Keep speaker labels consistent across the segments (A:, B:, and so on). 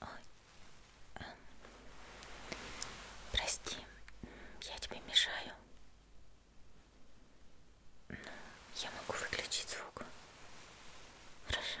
A: Ой. Прости, я тебе мешаю. Ну, я могу выключить звук. Хорошо.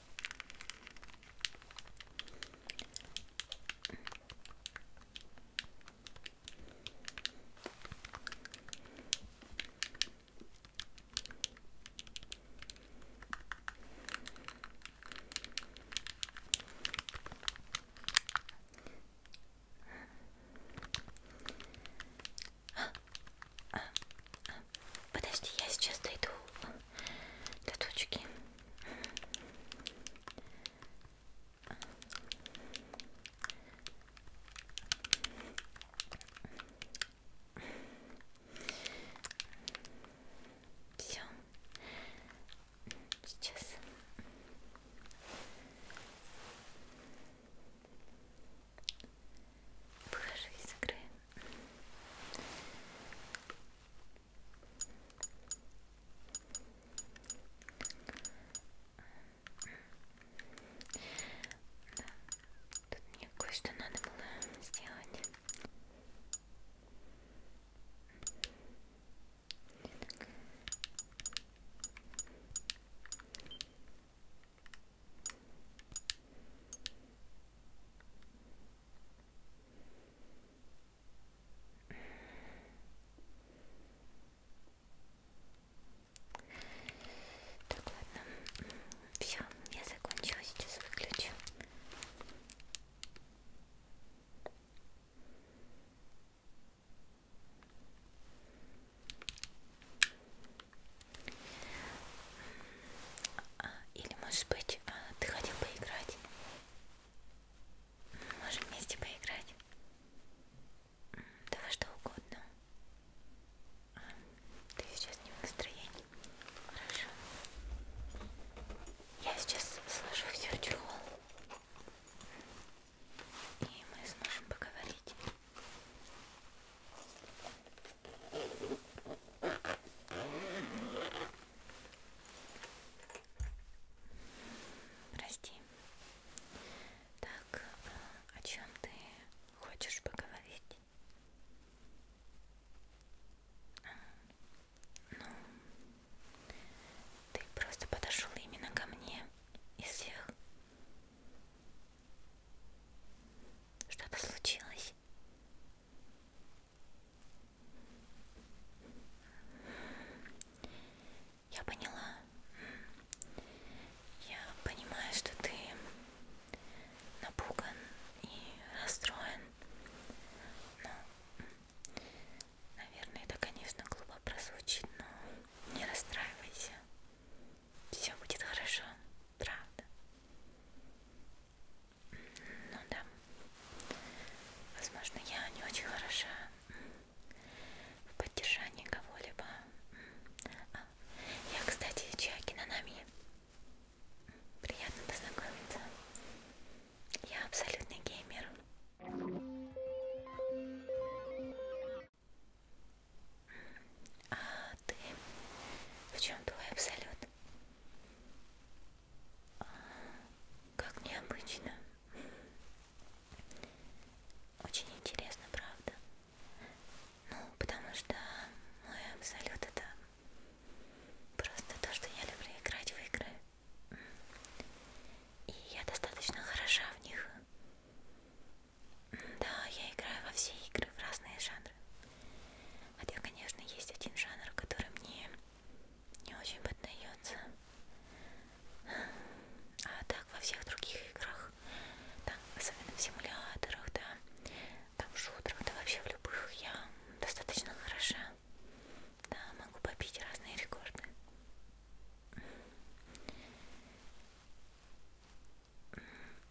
A: Подожди, я сейчас дойду до точки. Все. Сейчас. Выхожу из игры. Да, тут мне кое-что надо было сделать. Так. Так, ладно. Все, я закончила, сейчас выключу. А, или, может быть, а, ты хотел поиграть? Можем вместе поиграть? Да во что угодно. А, ты сейчас не в настроении. Хорошо. Я сейчас сложу все в чехол. И мы сможем поговорить. Прости. Так, а, о чем ты хочешь поговорить? А, ну, ты просто подошел именно ко мне из всех. Что-то случилось? Я поняла. Я понимаю, что ты напуган и расстроен. Но, наверное, это, конечно, глупо прозвучит, но не расстраивайся. Все будет хорошо, правда. Ну да. Возможно, я не очень хороша в поддержании кого-либо. А, я, кстати, Чаки Нанами. Приятно познакомиться. Я абсолютный геймер. А ты? В чем твой абсолют? Как необычно. Очень интересно, правда? Ну, потому что мой абсолют это просто то, что я люблю играть в игры. И я достаточно хороша в них. Да, я играю во все игры, в разные жанры. Хотя, конечно, есть один жанр, который мне не очень поддается. А так во всех других играх, там, особенно в симуляторах, да, там в шутерах, да вообще в любых я достаточно хороша. Да, могу побить разные рекорды.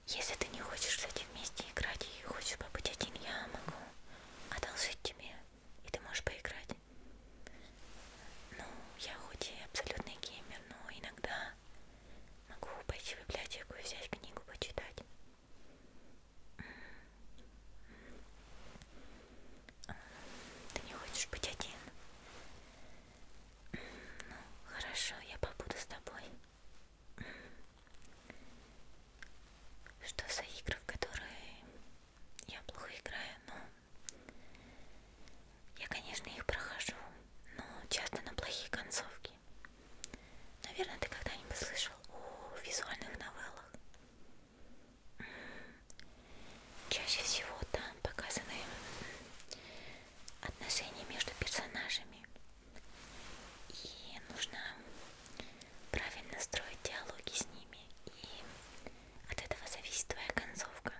A: Если ты не хочешь с этим вместе играть и хочешь побыть один, я могу одолжить тебе, и ты можешь поиграть. Ну, я хоть и абсолютный геймер, но иногда могу пойти в библиотеку и взять книгу почитать. Ты не хочешь быть один? Ну, хорошо, я побуду с тобой. Что за игры, в которые я плохо играю, но ну, я, конечно, их прохожу, но часто на плохие концовки. Наверное, ты когда-нибудь слышал о визуальных новеллах. Чаще всего там показаны отношения между персонажами, и нужно правильно строить диалоги с ними. И от этого зависит твоя концовка.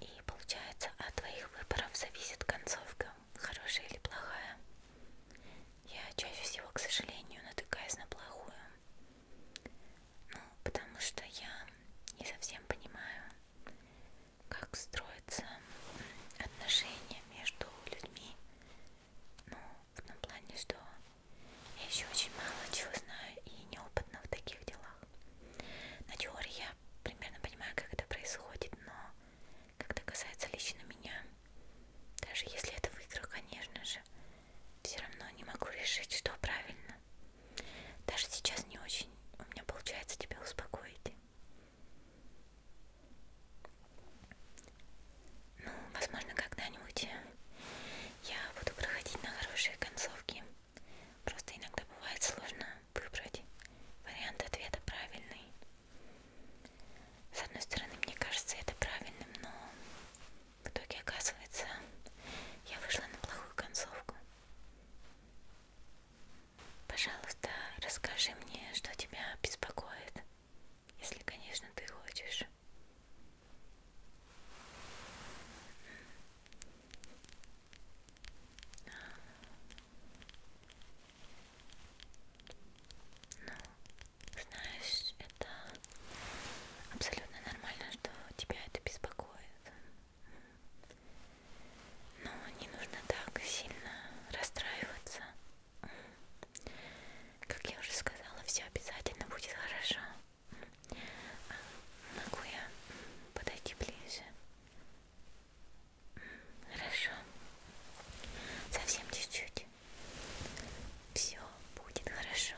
A: И получается, от твоих выборов зависит концовка, хорошая или плохая. Я чаще всего, к сожалению, натыкаюсь на плохую. Ну, потому что я не совсем понимаю, как строить строятся отношения между людьми. Ну, в том плане, что я еще очень мало чего знаю и неопытна в таких делах. На теории я примерно понимаю, как это происходит, но когда касается лично меня, даже если это в играх, конечно же, все равно не могу решить, что правильно. Даже сейчас не очень у меня получается тебя успокоить. Ну, возможно, когда-нибудь я буду проходить на хорошие концовки. Просто иногда бывает сложно выбрать вариант ответа правильный. С одной стороны, мне кажется это правильным, но в итоге оказывается, я вышла на плохую концовку. Пожалуйста, расскажи мне, что тебя беспокоит, если, конечно, ты хочешь. Ну, знаешь, это абсолютно нормально, что тебя это беспокоит. Но ну, не нужно так сильно расстраиваться. Как я уже сказала, все обязательно будет хорошо. Могу я подойти ближе? Хорошо. Совсем чуть-чуть. Все будет хорошо.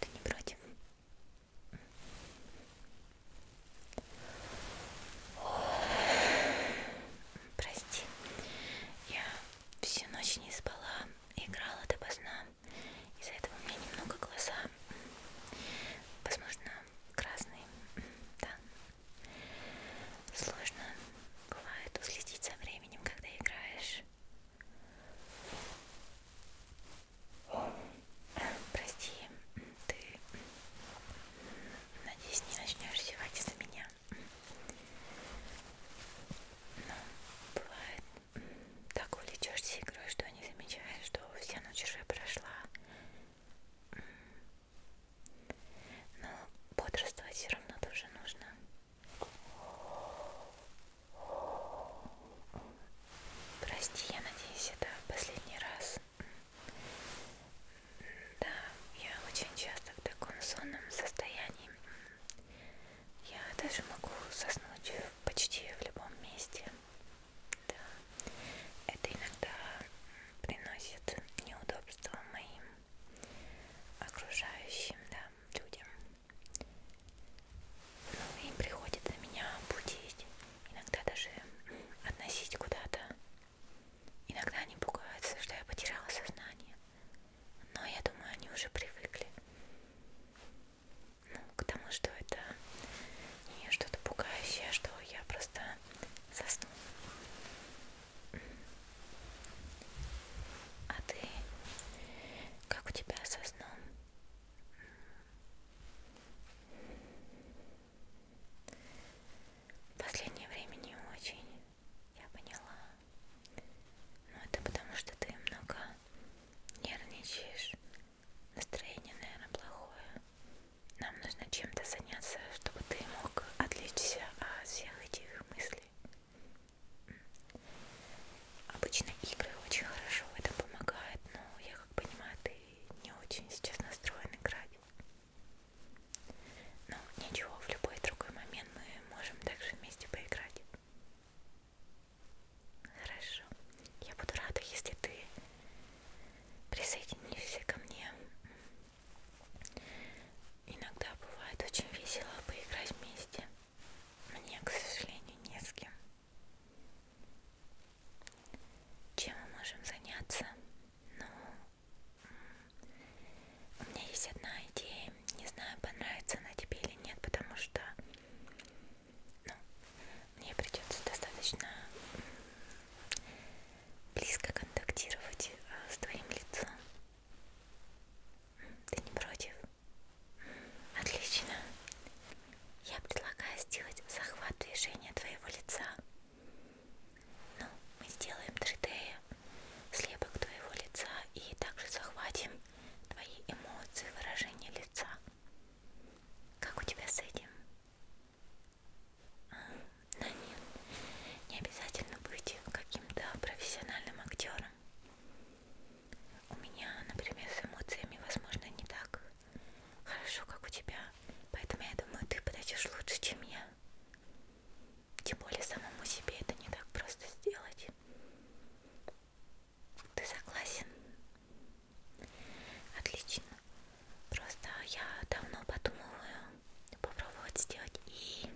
A: Ты не против? прости. Я всю ночь не спала, играла допоздна. Из-за этого у меня немного глаза, возможно, красные. Да. Сложно бывает уследить за временем, когда играешь. Прости, ты надеюсь не начнешь зевать из-за меня да. Ну, бывает, так увлечешься игрой, что не замечаешь, что вся ночь уже прошла. Но бодрствовать все равно тоже нужно. Прости, я надеюсь, это последний раз. Да, я очень часто в таком сонном состоянии. Я даже могу соснуть почти в любом месте. Да. Это иногда приносит неудобства моим окружающим да, людям. Ну, им приходит на меня будить, иногда даже относить куда-то Иногда они пугаются, что я потеряла сознание. Но я думаю, они уже привыкли. Ну, к тому, что это не что-то пугающее, а что я просто засну. А ты? Как у тебя со сном? В последнее время не очень, я поняла. Но ну, это потому, что ты много нервничаешь. Настроение, наверное, плохое. Нам нужно чем-то заняться, чтобы ты мог отвлечься от всех этих мыслей. Обычно игры очень хорошо в этом помогают, но я как понимаю, ты не очень сейчас настроен играть. Ну, ничего, в любой другой момент мы можем также вместе поиграть. Хорошо. Я буду рада, если ты присоединишься ко мне. Иногда бывает очень весело поиграть вместе. Мне, к сожалению, не с кем. Чем мы можем заняться? Ну, у меня есть одна идея, не знаю, понравится она тебе или нет, потому что ну, мне придется достаточно близко контактировать э, с твоим лицом. Ты не против? Отлично. Я предлагаю сделать захват движения твоего лица ну, мы сделаем 3D слепок твоего лица и также захватим твои эмоции, выражение лица. Как у тебя с этим? А, да нет, не обязательно быть каким-то профессиональным актером. У меня, например, с эмоциями, возможно, не так хорошо, как у тебя. Поэтому я думаю, ты подойдешь лучше, чем я. Тем более самому себе это не так просто сделать. Ты согласен? Отлично. Просто я давно подумываю попробовать сделать и...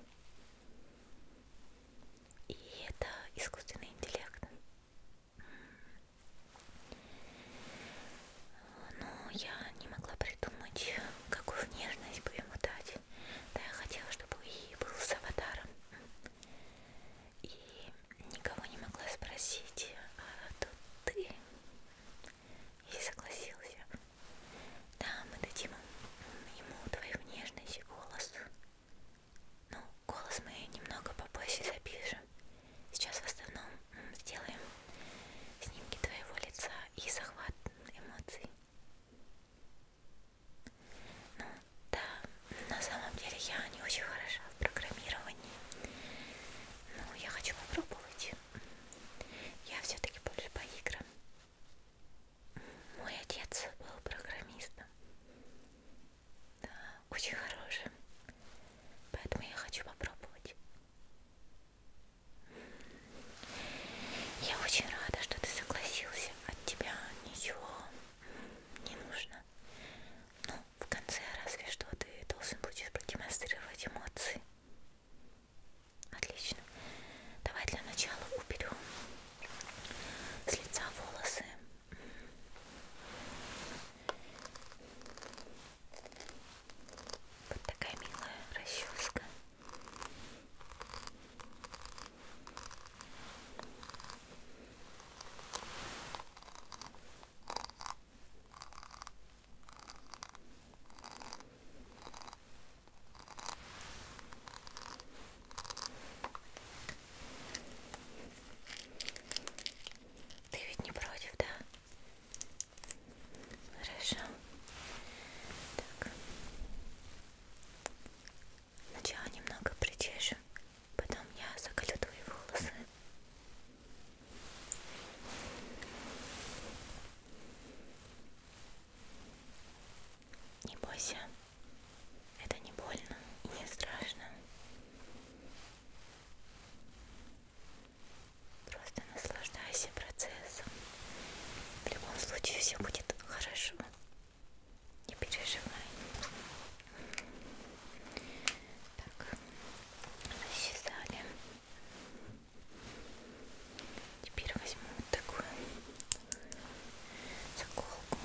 A: И это искусственный интеллект но я не могла придумать, какую внешность бы ему дать. Да, я хотела, чтобы и был с аватаром. И никого не могла спросить, а тут ты. И согласился. Да, мы дадим ему твою внешность и голос. Ну, голос мы немного попозже запишем. Сейчас в основном сделаем снимки твоего лица и захват эмоций. Ну, да, на самом деле я не очень хороша в программировании. Но ну, я хочу попробовать. Я все-таки больше по играм. Мой отец был программистом. Да, очень хорошим. Поэтому я хочу попробовать. Я очень рада, что ты согласился. От тебя ничего не нужно. Ну, в конце разве что ты должен будешь продемонстрировать эмоции. Отлично. Давай для начала уберем с лица волосы. Вот такая милая расческа. Ты ведь не против, да? Хорошо. Так. Сначала немного причешу, потом я заколю твои волосы. Не бойся, это не больно и не страшно. Просто наслаждайся процессом. В любом случае все будет хорошо. Не переживай. Так, засчитали. Теперь возьму вот такую заколку.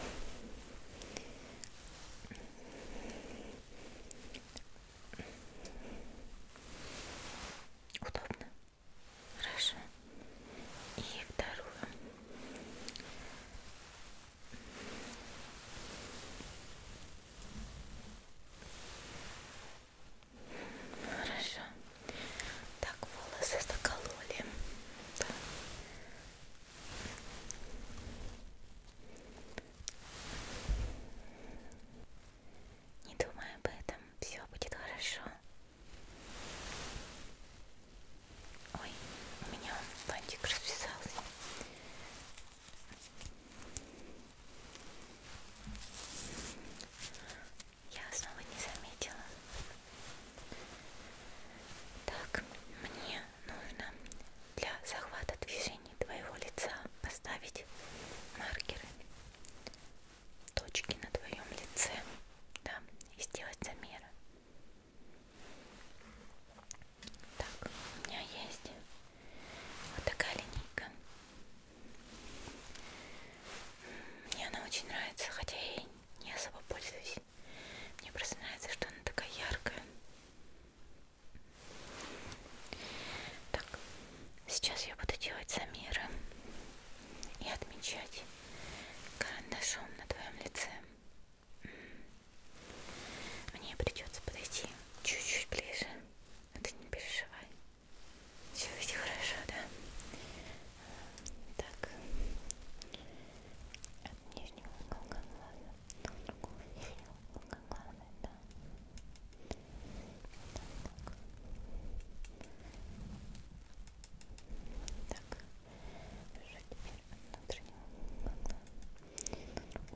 A: Удобно? Хорошо. И вторую. Хорошо. Так, волосы закололи. Да. Не думай об этом, все будет хорошо. Ой, у меня бантик расписался. Я снова не заметила. Так, мне нужно для захвата движений твоего лица поставить маркеры точки на твоем лице, да, и сделать замеры. Так, у меня есть вот такая линейка. Мне она очень нравится, хотя я ей не особо пользуюсь. Мне просто нравится, что она такая яркая. Так, Сейчас я буду делать замеры и отмечать карандашом на твоем лице. Мне придется подойти чуть-чуть ближе. А ты не переживай. Все ведь хорошо, да? Так. От нижнего уголка глаза до другого нижнего уголка глаза, да так, так. Уже теперь от внутреннего угла так. Теперь вот здесь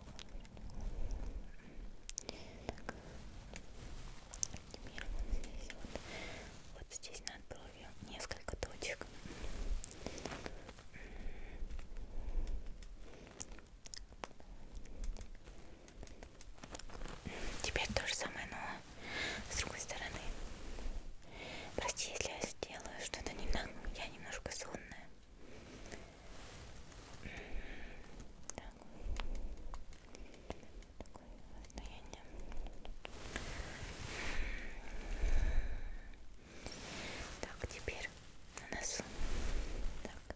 A: вот, вот здесь над бровью несколько точек. Так. Теперь то же самое, но с другой стороны. Прости, если я сделаю что-то не так, я немножко сонная. Так. Такое состояние. Так, теперь на носу. Так.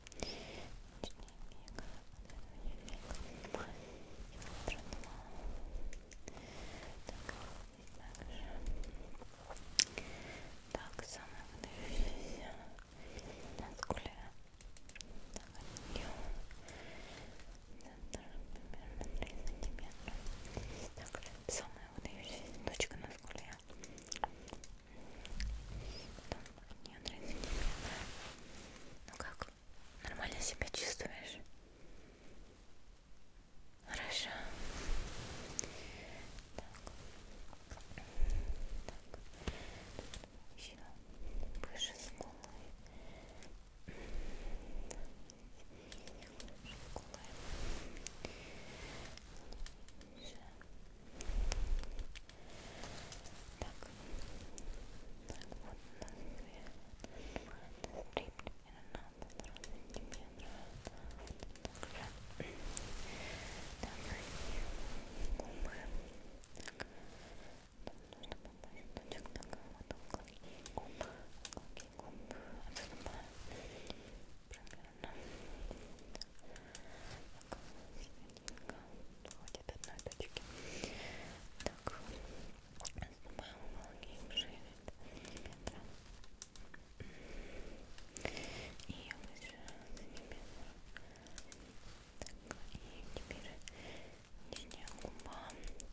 A: Так, самое выдающееся на скуле. Так, от нее центр примерно 3 сантиметра. Так, самая выдающаяся точка на скуле. Потом от нее 3 сантиметра. Ну как, Нормально себя чувствуешь? Хорошо. Так. Так. Еще выше с головы. Выше. Так, так вот у нас две стрипки на котором тебе нравится. Так, так, губы. Так, там нужно попасть точек, так, вот уголки губ, уголки губ отступают примерно. Так, так, Хватит одной точки. Так, снимаем уголки шевель. И выше за ними. Так, и теперь нижняя губа.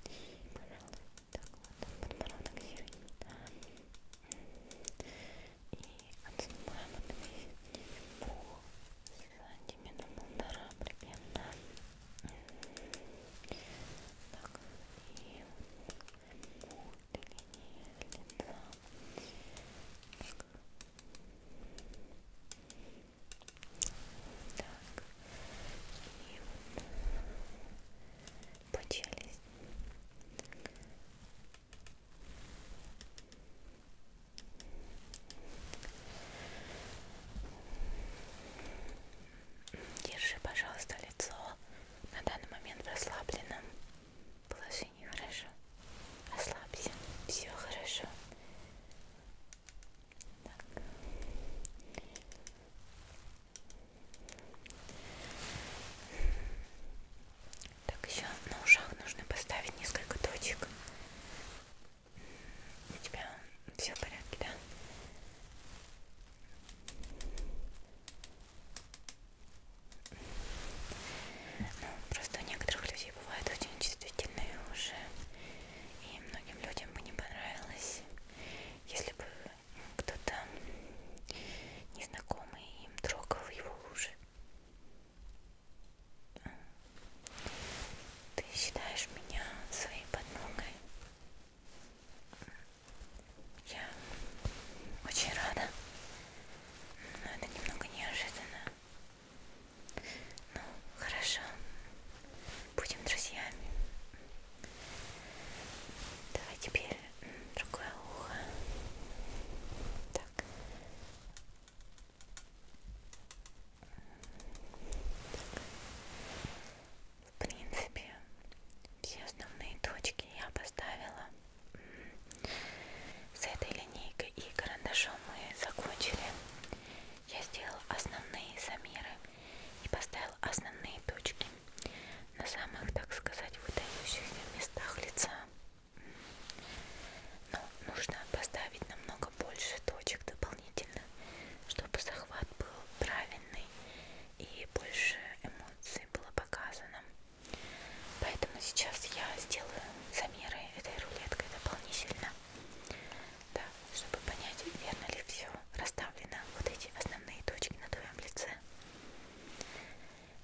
A: И, пожалуй, так вот, подбородок серый. И отступаем от весь пол сантиметра полтора примерно так и лица так. так и по челюсти так. Держи, пожалуйста, лицо на данный момент в расслабленном положении, хорошо? Расслабься, все хорошо. Так. так, еще на ушах нужно поставить несколько точек. У тебя все в порядке, да? Ну, просто у некоторых людей бывают очень чувствительные уши, и многим людям бы не понравилось, если бы кто-то незнакомый им трогал его уши. Ты считаешь меня своей подмогой? Я очень рада, но это немного неожиданно. Ну, хорошо, будем друзьями. Давай теперь другое ухо. Так, в принципе, все основные точки я поставила. С этой линейкой и карандашом мы закончили. Я сделал основные замеры и поставил основные точки на самых, так сказать, выдающихся местах лица. Но нужно поставить намного больше точек дополнительно, чтобы захват был правильный и больше эмоций было показано. Поэтому сейчас я сделаю замеры этой рулеткой дополнительно, да, чтобы понять, верно ли все расставлено, вот эти основные точки на твоем лице.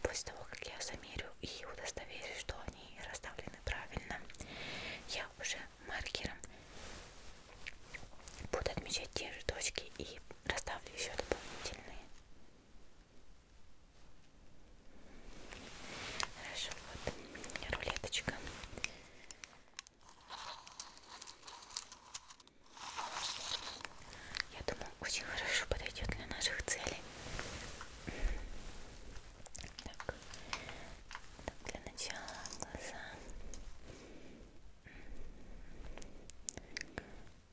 A: После того, как я замерю и удостоверюсь, что они расставлены правильно. Я уже маркером буду отмечать те же точки и расставлю еще дополнительные. Хорошо, вот рулеточка. Я думаю, очень хорошо подойдет для наших целей. Так. так, для начала глаза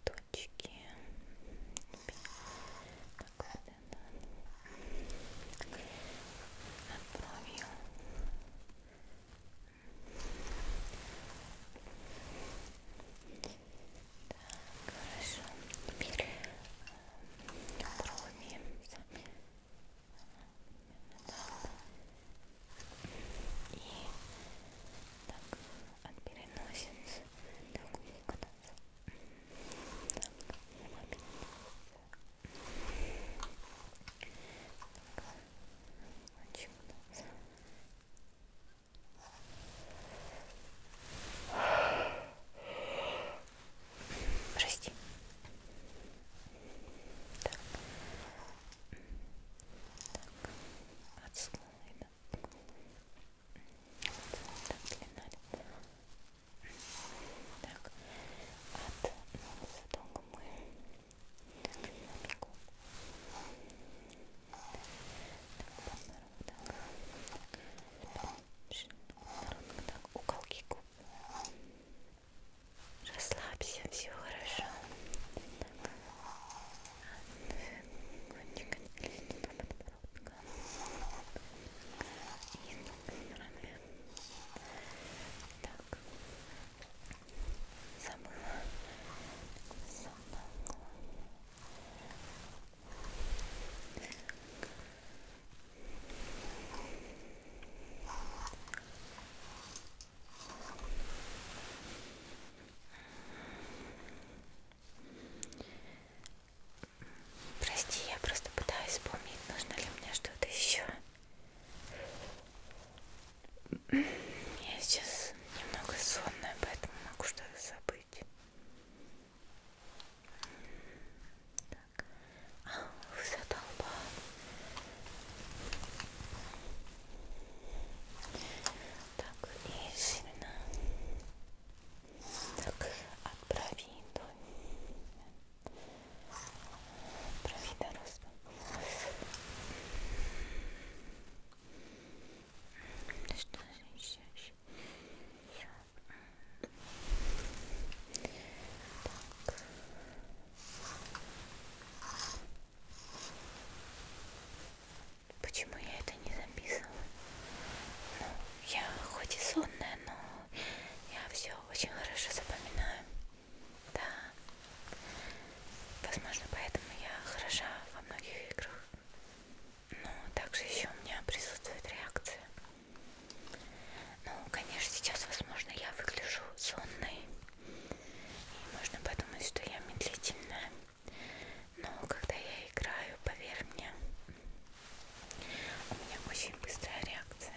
A: точки. Так, вот это. Над бровью. Так, хорошо. Теперь брови э, сами и так от переносицы так выкататься так, маме так, очень удобно так, Прости. Так. Так. От слайда. Так, длина. Так. От носа долго мы. Так, маленько. Так, по так. так. Ровно так, уголки губ. Расслабься, все хорошо. Кончик лестника подбородка. И с другой стороны. Так. Забыла. Забыла. Прости, я просто пытаюсь вспомнить, нужно ли мне что-то еще. Я сейчас немного сонная, поэтому могу что-то забыть. Так. А, вся толпа. Так, и сильно. Так, от брови до... Брови до роста. Что же еще? еще? Так. Почему я это не записывала? Ну, я хоть и сонная, но я все очень хорошо запоминаю. Да. Возможно, поэтому я хороша во многих играх. Но также еще у меня присутствует реакция. Ну, конечно, сейчас, возможно, я выгляжу сонной. И можно подумать, что я медлительная. Но когда я играю, поверь мне, у меня очень быстрая реакция.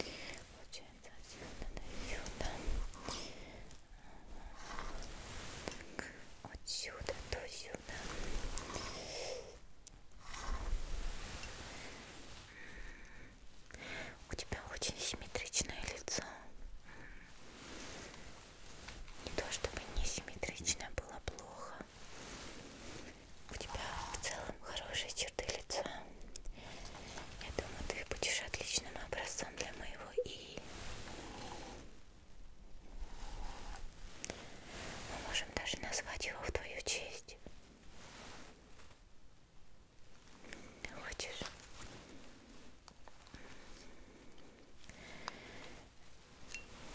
A: Получается отсюда до сюда. Так, от сюда до сюда. У тебя очень симметричное лицо. Не то чтобы несимметрично было плохо. У тебя в целом хорошие черты лица. Я думаю, ты будешь отличным образцом для моего и мы можем даже назвать его в твою честь. Хочешь?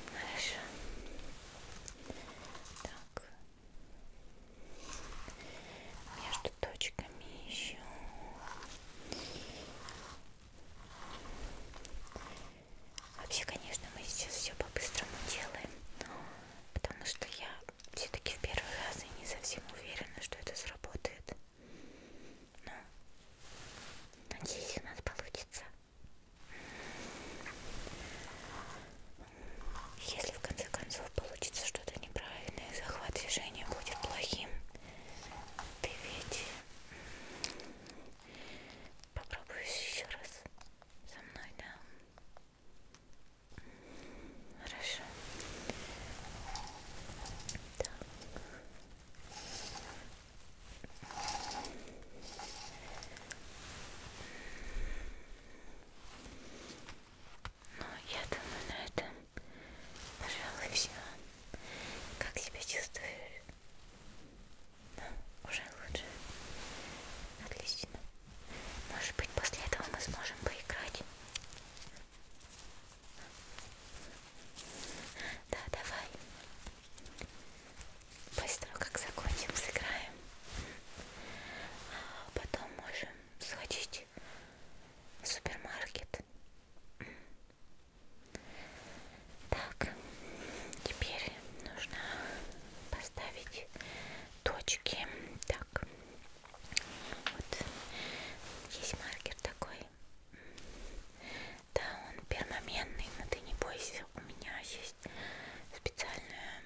A: Хорошо. Так. Между точками еще Вообще, конечно, мы сейчас все по-быстрому делаем, потому что я все-таки в первый раз и не совсем уверена, что это сработает. Но надеюсь, у нас получится. Если в конце концов получится что-то неправильное, захват движения будет плохим, ты ведь Попробую еще раз со мной, да? Хорошо. Так. Ну, я думаю, на этом, пожалуй, все. Как себя чувствуешь? Ну, уже лучше. Отлично. Может быть, после этого мы сможем поиграть. Да, давай. Быстро, как закончим, сыграем. А потом можем сходить в супермаркет так, теперь нужно поставить точки. Так, вот есть маркер такой. Да, он перманентный, но ты не бойся, у меня есть специальная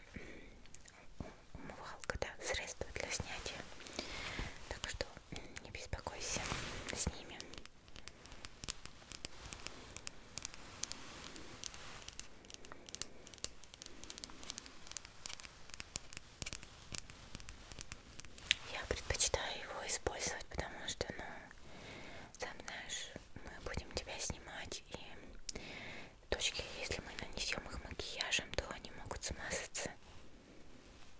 A: умывалка, да, средство для снятия. Так что не беспокойся с ними. Я предпочитаю его использовать, потому что, ну, сам знаешь, мы будем тебя снимать, и точки, если мы нанесем их макияжем, то они могут смазаться.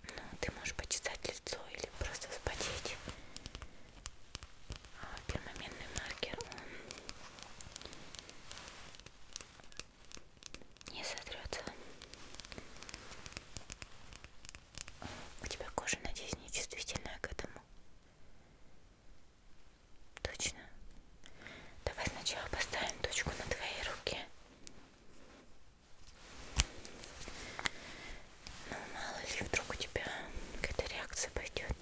A: Ну, ты можешь почесать лицо или просто вспотеть. А пермаментный маркер, он не сотрется. У тебя кожа, надеюсь, не чувствительная к этому. Точно. Давай сначала поставим точку на твоей руке. Ну, мало ли, вдруг у тебя какая-то реакция пойдет.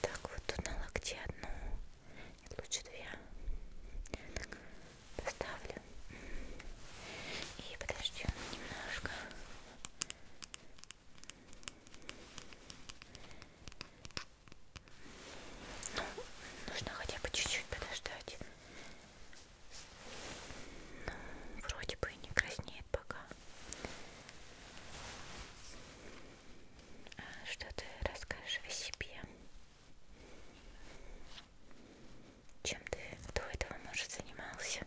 A: Так, вот тут на локте одну, Нет, лучше две. Так, поставлю. И подождем немножко. Ну, нужно хотя бы чуть-чуть подождать. Вроде бы и не краснеет пока. А что ты расскажешь о себе? Чем ты до этого, может, занимался?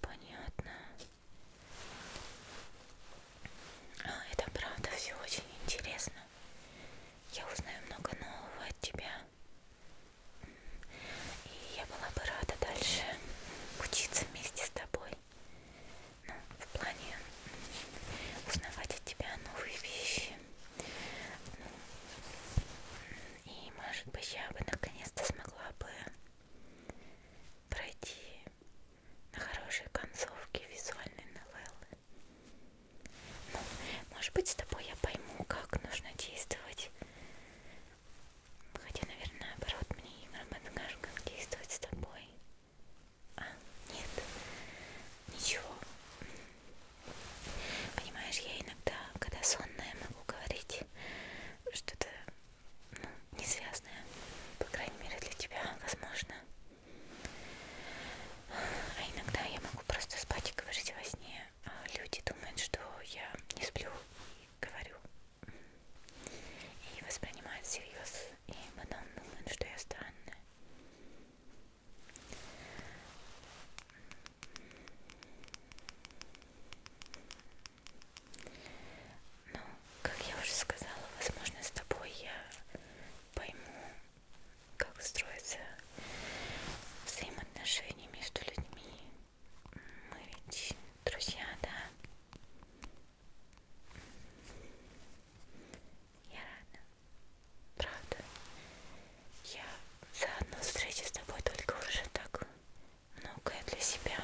A: Понятно. А, это правда все очень интересно. Я узнаю много нового от тебя. И я была бы рада дальше учиться вместе с тобой. Ну, в плане узнавать от тебя новые вещи. Ну, и, может быть, я бы наконец-то смогла бы пройти на хорошие концовки визуальной новеллы. Ну, может быть, с тобой я пойму, как нужно действовать. Хотя, наверное, наоборот, мне Имра подскажет, как действовать с тобой. А, нет, ничего. Понимаешь, я иногда, когда сонная, могу говорить что-то ну, несвязная, по крайней мере для тебя, возможно. А иногда я могу просто спать и говорить во сне. А люди думают, что я не сплю и говорю. И воспринимают всерьез. И потом думают, что я странная. Но, ну, как я уже сказала, возможно, с тобой я пойму, как строятся взаимоотношения между людьми. Мы ведь друзья, да? Я рада. Правда. Я за одну встречу с тобой только уже так многое для себя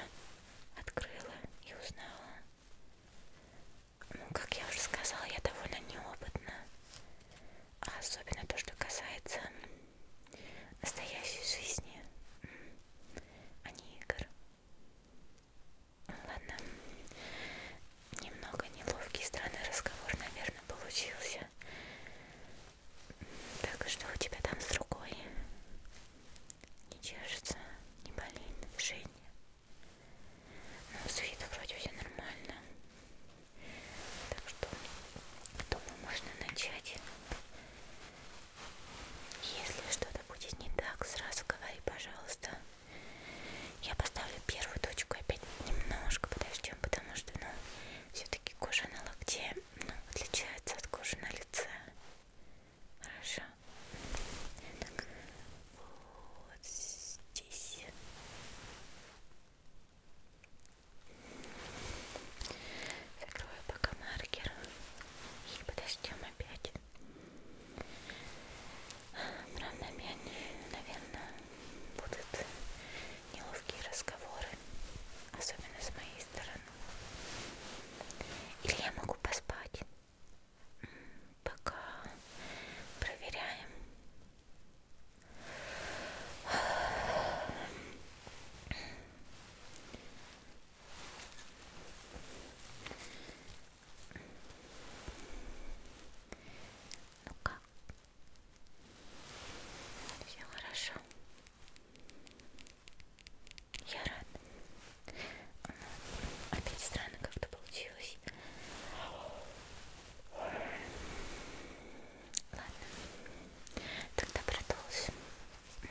A: открыла и узнала. Ну, как я уже сказала, я довольно неопытна. А особенно то, что касается настоящей жизни, а не игр. Ладно, немного неловкий странный разговор, наверное, получился. Так что у тебя там с другой? Не чешется, не болит, дышит. Ну, с виду вроде все нормально. Так что, думаю, можно начать. Если что-то будет не так, сразу говори, пожалуйста. Я поставлю первую точку опять немножко подождем, потому что, ну, все-таки кожа на локте ну, отличается от кожи на лице. Хорошо. Так, вот здесь. Закрою пока маркер. И подождем опять. Равномерно, наверное, будут неловкие разговоры, особенно с моей стороны. Или я могу поспать. Пока проверяем. Ну как? Все хорошо. Я рада. Опять странно как-то получилось. Ладно. Тогда продолжим. Так.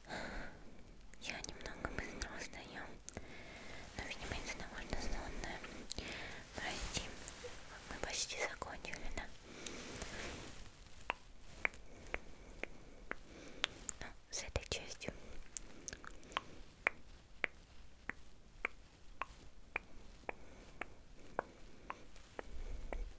A: Я немного быстро устаю, но, видимо, из-за того, что сонная. Прости, мы почти закончили, да? Ну, с этой частью.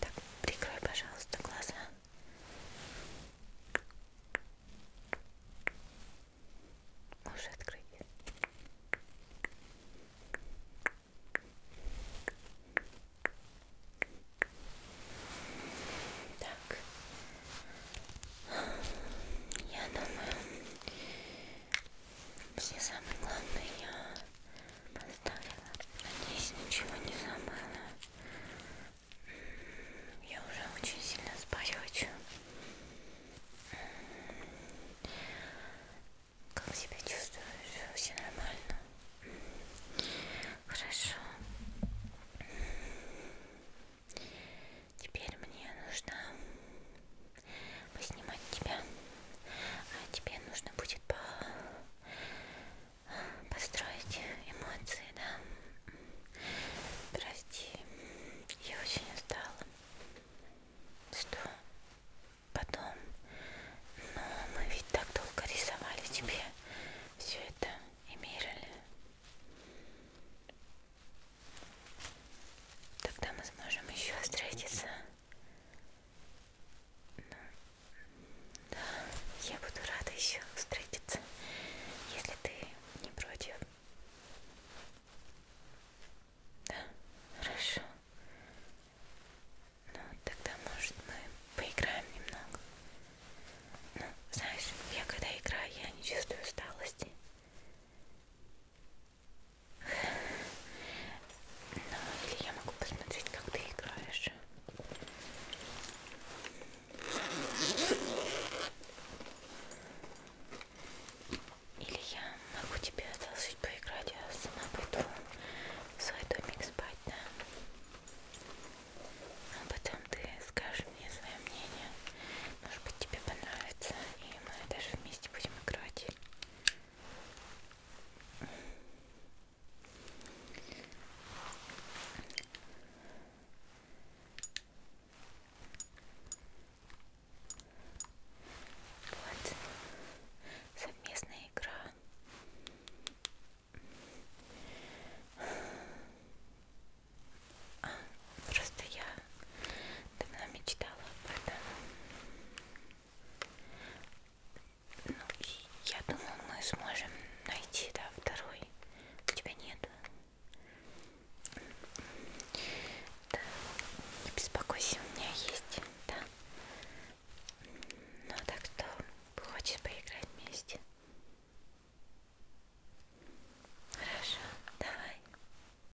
A: Так, прикрой, пожалуйста, глаза. Можешь открыть. Так, я думаю, все самые главные я поставила. Надеюсь, ничего не забыла. Я уже очень сильно спать хочу. Как себя чувствуешь? Все нормально? Хорошо. Теперь мне нужно поснимать тебя. А тебе нужно будет по... построить эмоции, да? Прости, я очень устала. Что потом? Но ну, мы ведь так долго рисовали тебе все это и мерили. Тогда мы сможем еще встретиться. Ну, да, я буду рада еще встретиться, если ты не против. Да, хорошо. Ну, тогда, может, мы поиграем немного. Ну, знаешь, я когда играю, я не чувствую усталости. Ну, или я могу посмотреть, как ты играешь. Или я могу тебе одолжить поиграть, а сама пойду в свой домик спать, да? А потом ты скажешь мне свое мнение. Может быть тебе понравится. И мы даже вместе будем играть. Вот совместная игра. А, Просто я давно мечтала об этом. Ну, и я думаю, мы сможем найти, да, второй. У тебя нет. Да, не беспокойся, у меня есть, да. Ну а так что, хочешь поиграть вместе? Хорошо, давай.